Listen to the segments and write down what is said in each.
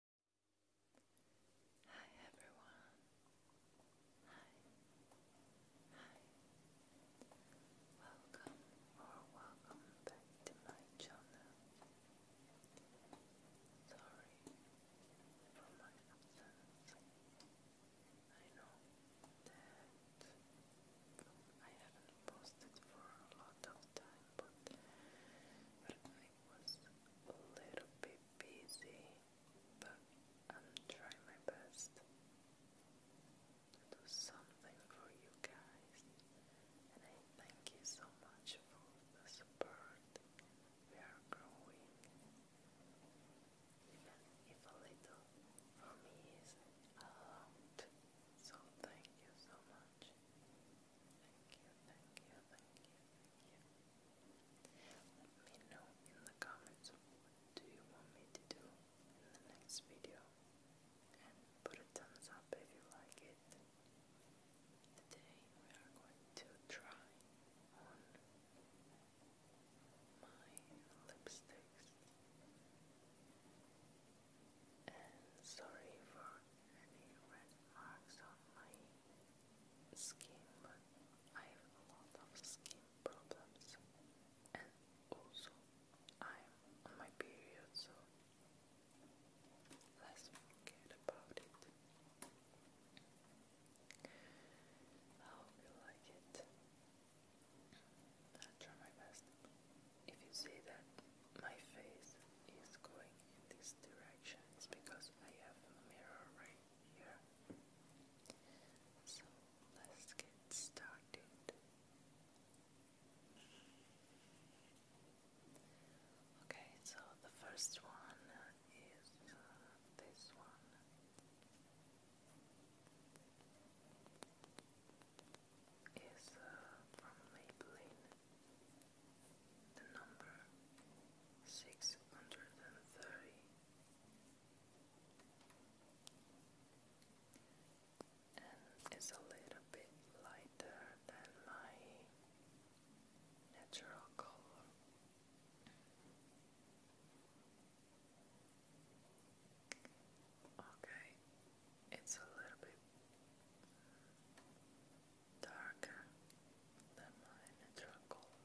Hi everyone. Hi. Hi. Welcome or welcome back to my channel. Sorry for my absence. I know that I haven't posted for a lot time, but was a little bit busy, but I'm trying my best to do something for you guys. And I thank you so much for the support. We are growing. Even if a little for me is a lot. So thank you so much. Thank you, Let me know in the comments what do you want me to do in the next video. And put a thumbs up if you like it. Today we are going to try on my lipsticks. And sorry for any red marks on my skin. I have a lot of skin problems, and also I'm on my period, so let's forget about it. I hope you like it. i try my best. If you see that my face is going in this direction because I have a mirror right here. So let's get started. Okay, so the first one is uh, this one. Is uh, from Maybelline the number six hundred and thirty. And is a little bit lighter than my natural color. Okay, it's a little bit darker than my natural color.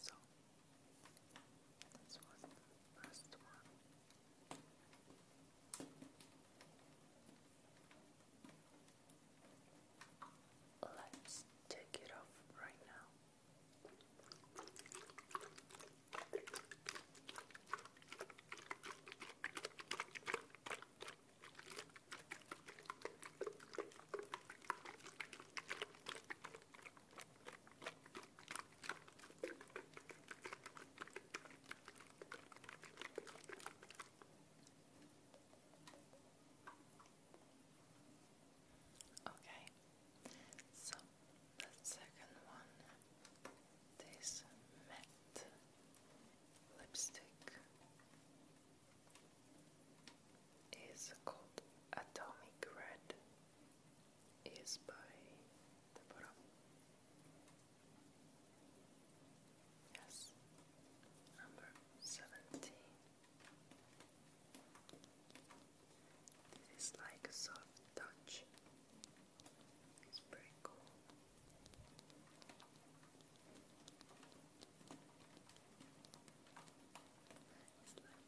so, this Let's take it off right now. Okay, so the second one, this matte lipstick is called Atomic Red is by the bottom. Yes, number seventeen. This is like soft touch. It's pretty cool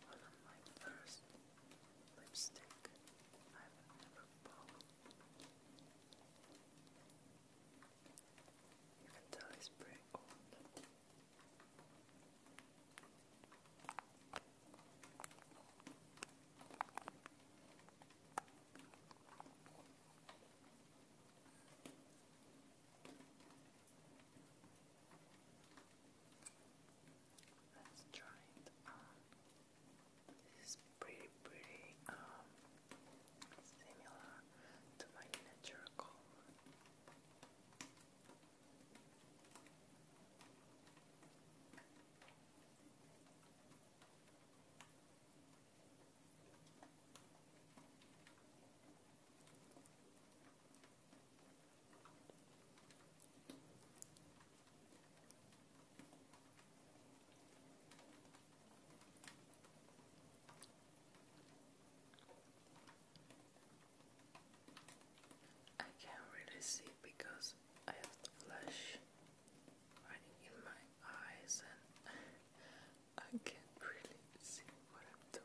one of my first lipstick I've ever bought. You can tell it's pretty old. Let's try it on. This is pretty, pretty um, similar to my natural color. I can't really see because I have the flash running in my eyes and I can't really see what I'm doing.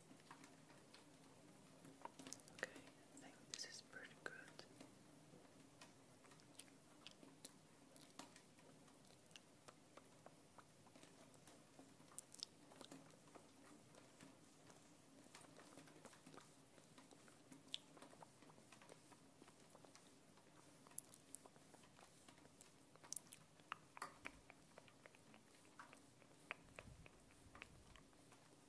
Okay, I think this is pretty good.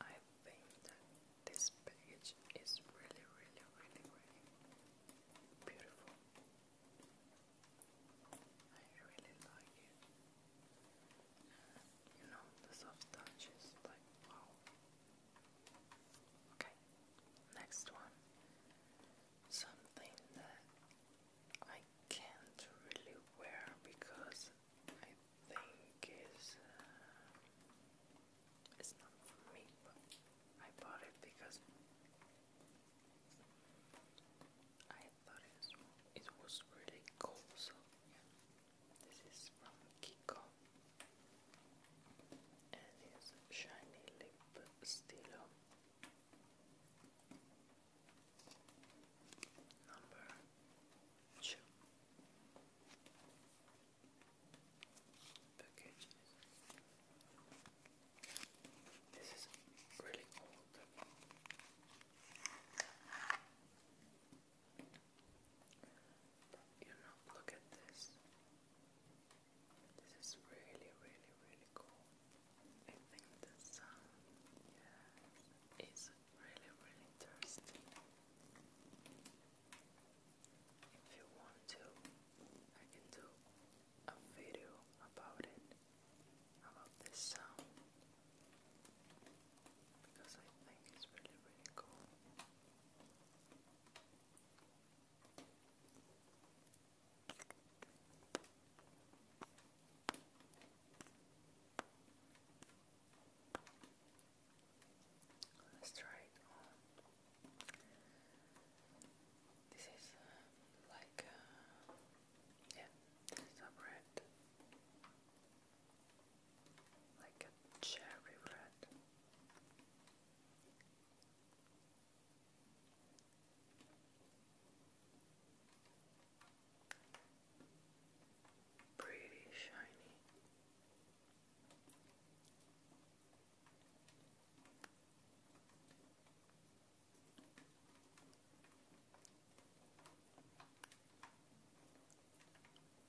I think this page is really, really, really, really beautiful. I really like it. You know, the soft touches, like wow. Okay, next one. Something that I can't really wear because I think is uh, it's not for me, but I bought it because I thought it was, it was really cool. So yeah. This is from Kiko. it's shiny lip stilo. Number two. Package. This is really old. You know, look at this. This is really, really, really cool. I think the sun, is really, really thirsty. If you want to, I can do a video about it, about the sound because I think it's really, really cool. Let's try it This is uh, like, uh, yeah, this like a cherry red. Pretty shiny.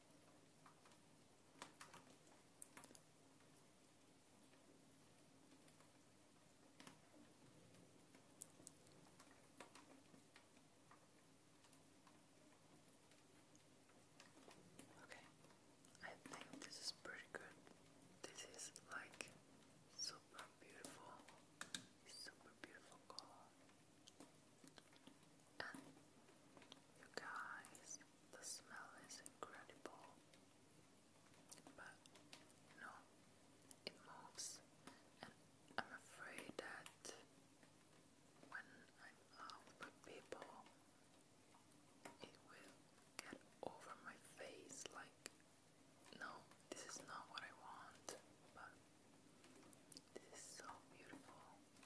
Okay, I think this is pretty good. This is like super beautiful, super beautiful color you guys, the smell is incredible. But you it moves, and I'm afraid that when I'm out with people, it will get over my face. Like, no, this is not what I want, but this is so beautiful.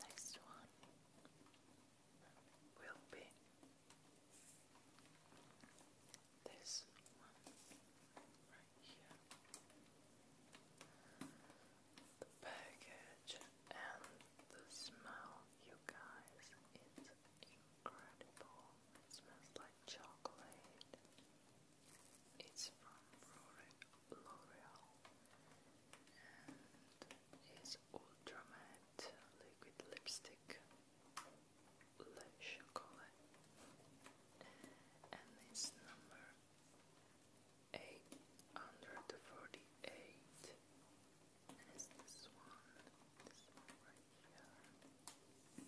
Next one will be this one right here. The package and the smell you guys, it's incredible. It smells like chocolate. It's from L'Oreal it's Ultra Liquid Lipstick Le Chocolat and it's number 848 and this one, this one right here. You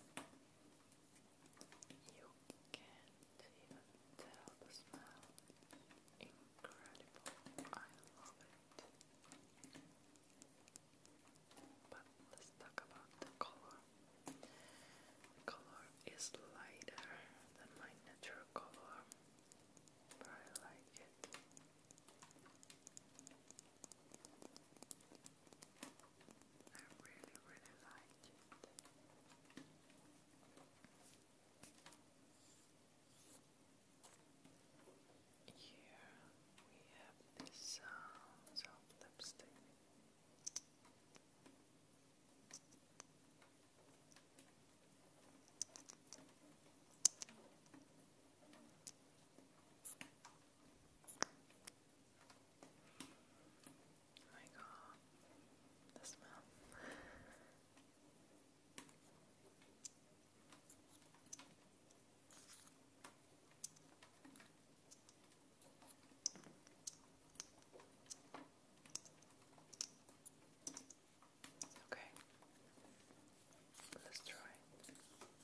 can't even tell the smell. Incredible, I love it. let's talk about the color. color is lighter than my natural color, but I like it. I really, really like it. Here we have the sounds lipstick. Oh my god, the smell. Okay, let's try.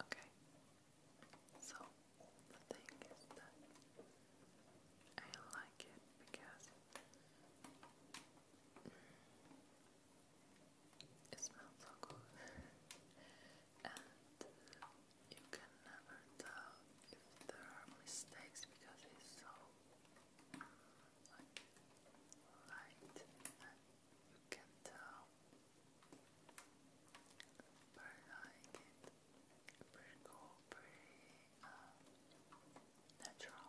Okay, so the thing is that I like it because it smells so good, and you can never tell if there are mistakes because it's so like light you can tell but like it pretty cool, pretty natural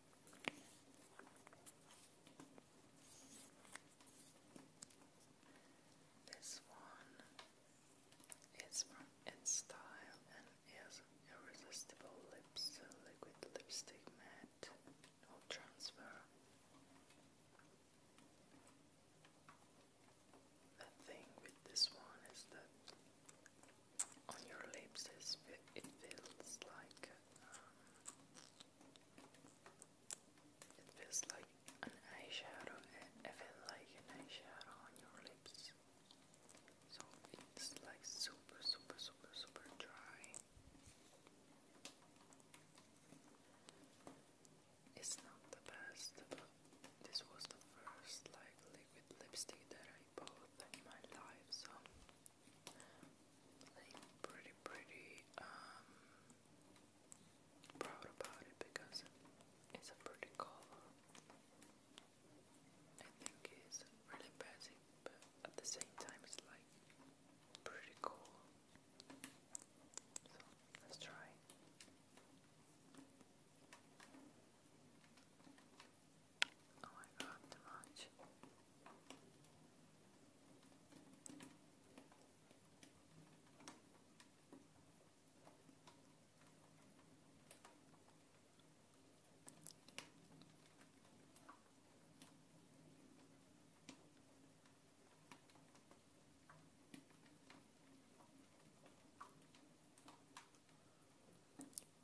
This one is from InStyle and is Irresistible Lips Liquid Lipstick Matte No Transfer. The thing with this one is that on your lips it feels like um, it feels like an eyeshadow eh, I like an eyeshadow on your lips so it's like super super super super dry it's not the best but this was the first like liquid lipstick that I bought in my life so like pretty pretty um proud about it because it's a pretty color. I think it's really basic but at the same time it's like pretty cool. So let's try. Oh my god, too much.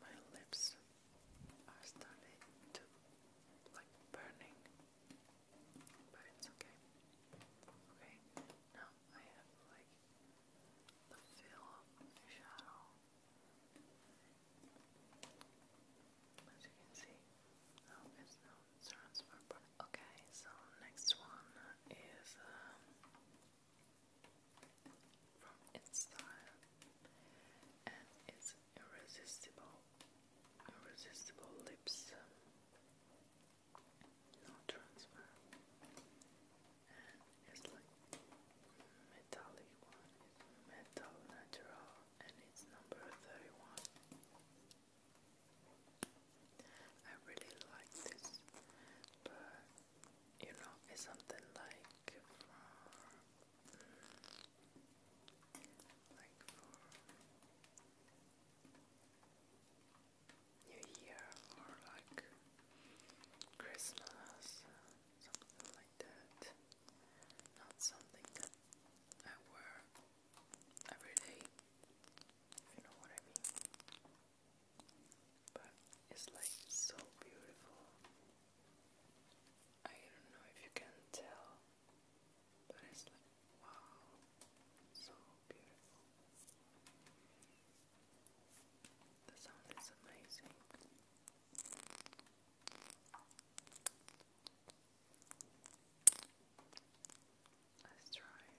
My lips I started to like burning, but it's okay. Okay, now I have like the feel shadow. As you can see, now it's now transfer. Okay, so next one is um, from its style and its irresistible, irresistible lips, no transfer, and it's like metallic one, metal natural, and it's number 31. I really like this, but you know, it's something like like for New Year or like Christmas, something like that. Not something that I wear every day, if you know what I mean. But it's like so beautiful. I don't know if you can tell, but it's like wow, so beautiful. The sound is amazing. Let's try it.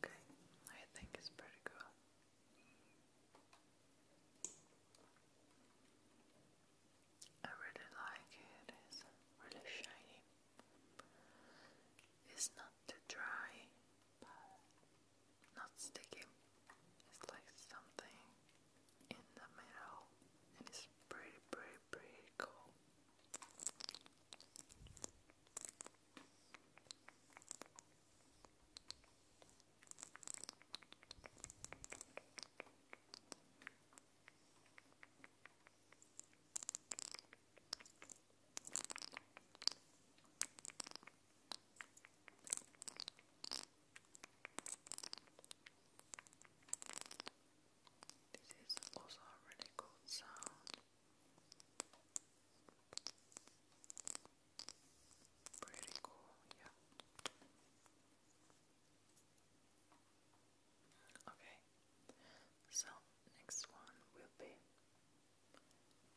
Okay, I think it's pretty cool. I really like it, it's really shiny. It's not too dry, but not sticky. It's like something in the middle, and it's pretty, pretty, pretty cool. This is also a really cool sound. Pretty cool, yeah. Okay, so next one will be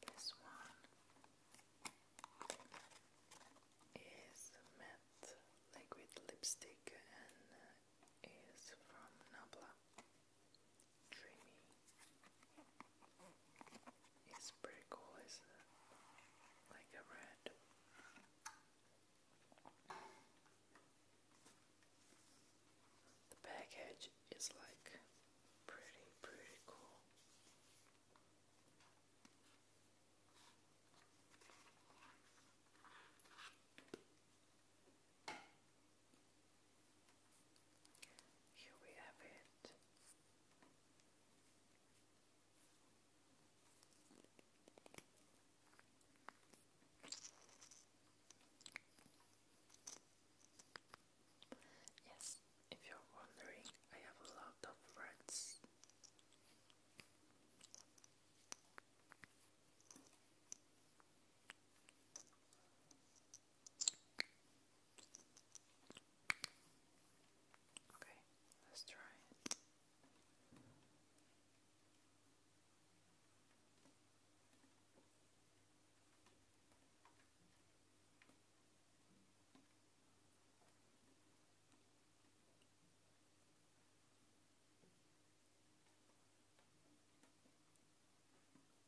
this one is matte liquid lipstick and uh, is from Nabla dreamy. It's pretty cool, is Like a red. The package is like pretty, pretty cool. Here we have it. Yes, if you're wondering, I have a lot of friends. Okay, let's try it.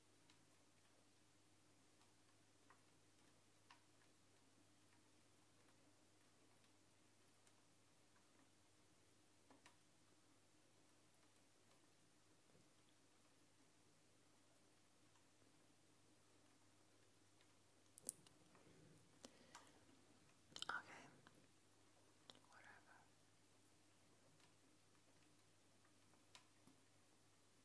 Okay, whatever.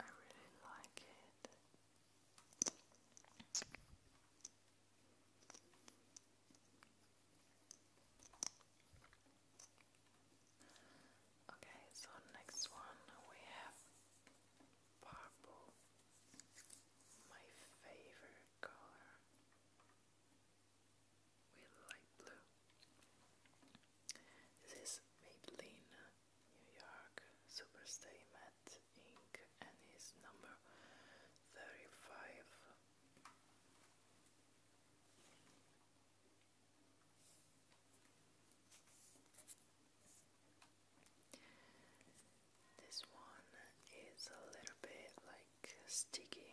I really like it. Okay, so next one we have purple, my favorite color. We like blue. This is Maybelline New York Superstay Met Inc. and his number 35. This one is a little bit like sticky.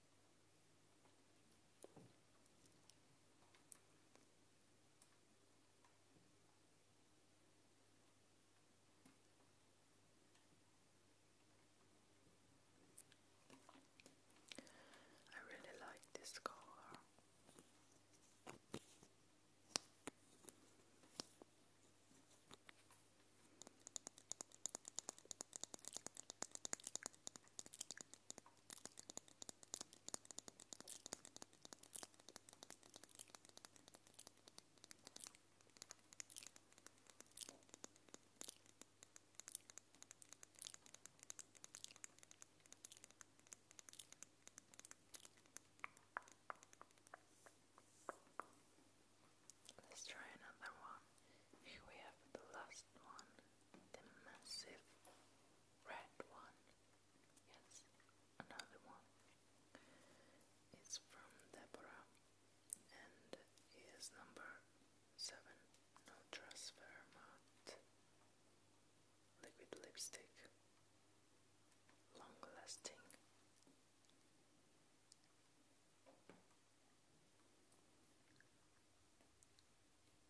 I really like this color. Let's try another one. Here we have the last one the massive red one. Yes, another one. It's from Deborah and is number 7 No Transfer Matte Liquid Lipstick Long Lasting.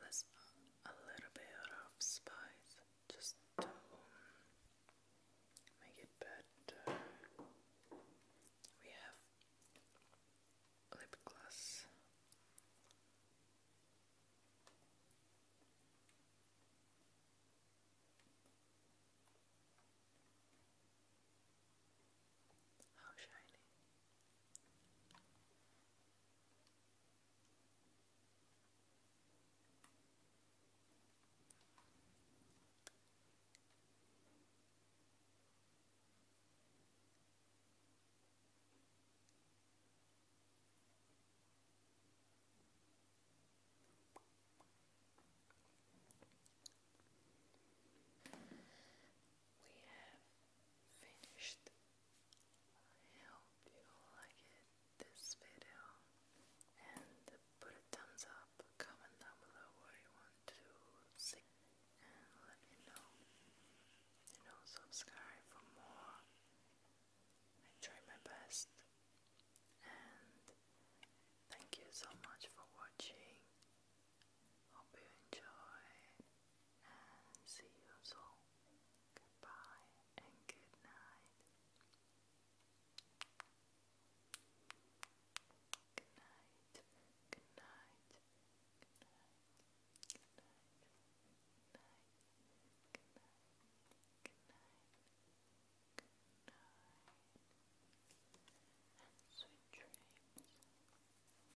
Let's add a little bit of spice just to make it better. We have lip gloss. How shiny. We have finished hope you like it, this video and put a thumbs up, comment down below what you want to see and let me know. You know, subscribe for more. I try my best and thank you so much for watching. Hope you enjoy and see you soon. Goodbye and good night. Good night. Good night. Good night. Good night. Good night. Good night. Good night. Good night. And sweet dreams.